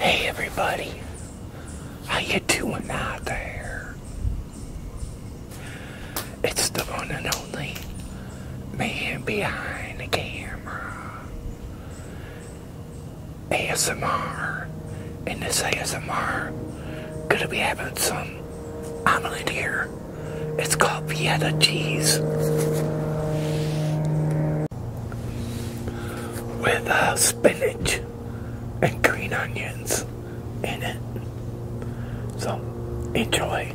Hey everybody, how you doing out there? It's the one and only man behind the camera. ASMR, and this ASMR gonna be having some omelet here. It's called Vienna cheese with uh, spinach and green onions in it. So enjoy.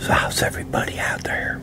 So, how's everybody out there?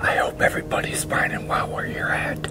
I hope everybody's finding well where you're at.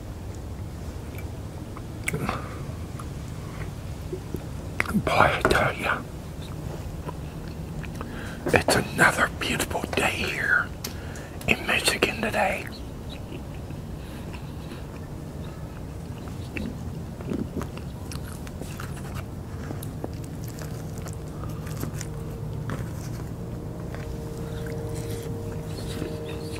Boy, tell you, it's another beautiful day here in Michigan today.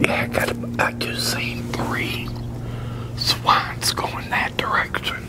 Yeah, I got. I just seen three swans go in that direction.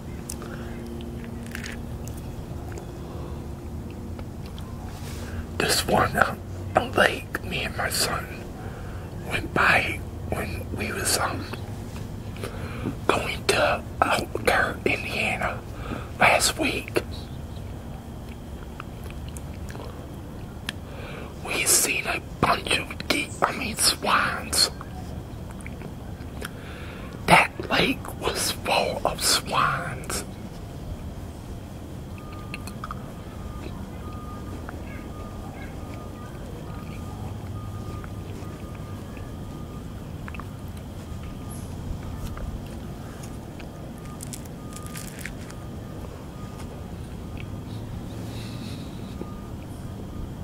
This one uh, a lake me and my son went by when we was um going to Albuquerque, uh, Indiana last week. We seen a bunch of deep, I mean swans that lake was full of swans.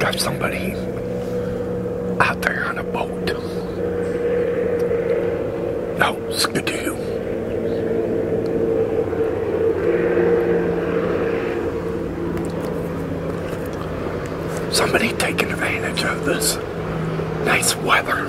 Got somebody out there on a boat. No, oh, skidoo somebody taking advantage of this nice weather.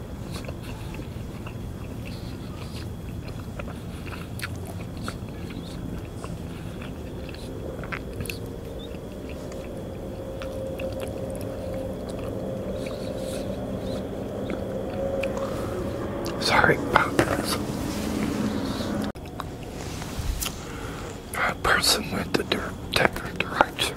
Sorry about this. A person with the direct direction.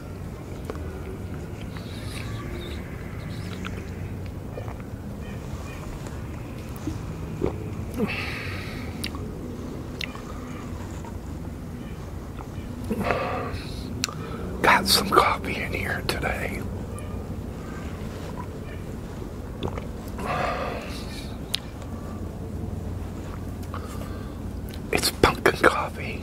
Got some coffee in here today. It's pumpkin coffee.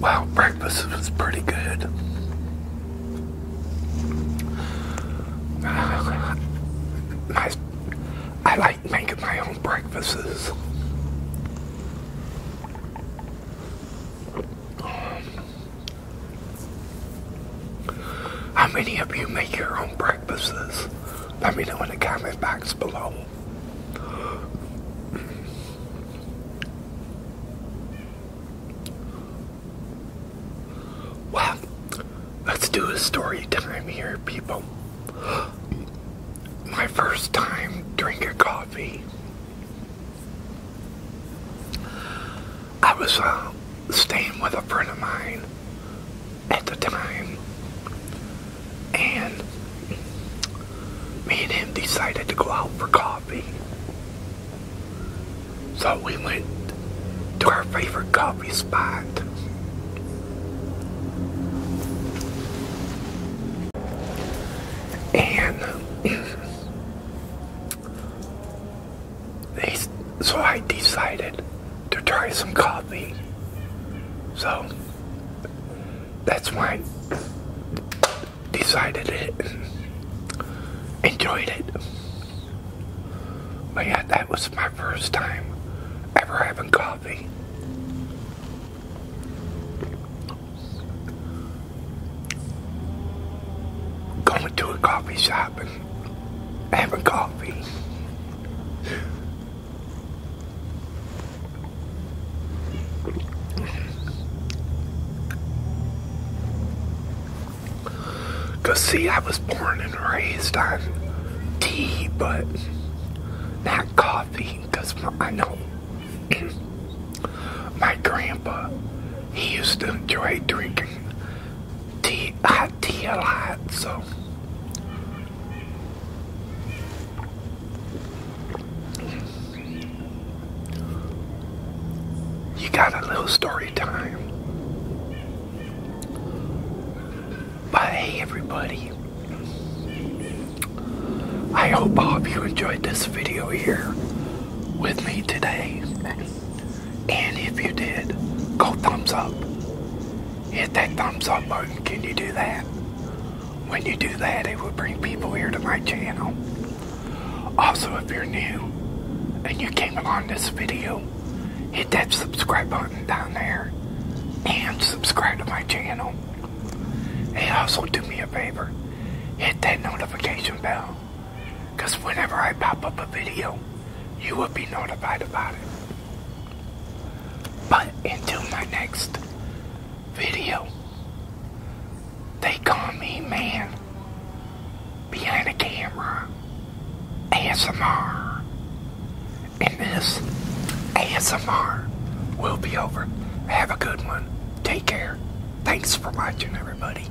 Wow, breakfast was pretty good. Uh, I, like making my own breakfasts. How many of you make your own breakfasts? Let me know in the comment box below. Well, let's do a story time here, people. My first time drinking coffee. I was uh, staying with a friend of mine at the time, and me and him decided to go out for coffee. So we went to our favorite coffee spot. And so I decided to try some coffee. So that's why I decided it enjoyed it. But yeah, that was my first time ever having coffee. Going to a coffee shop having coffee. Cause see, I was born and raised on tea, but not coffee. Cause I know my grandpa, he used to enjoy drinking tea, so you got a little story time. But everybody. I hope you enjoyed this video here with me today. And if you did, go thumbs up. Hit that thumbs up button. Can you do that? When you do that, it will bring people here to my channel. Also, if you're new and you came along this video, hit that subscribe button down there and subscribe to my channel. And also do me a favor, hit that notification bell because whenever I pop up a video, you will be notified about it. But until my next video, they call me man behind a camera ASMR. And this ASMR will be over. Have a good one. Take care. Thanks for watching, everybody.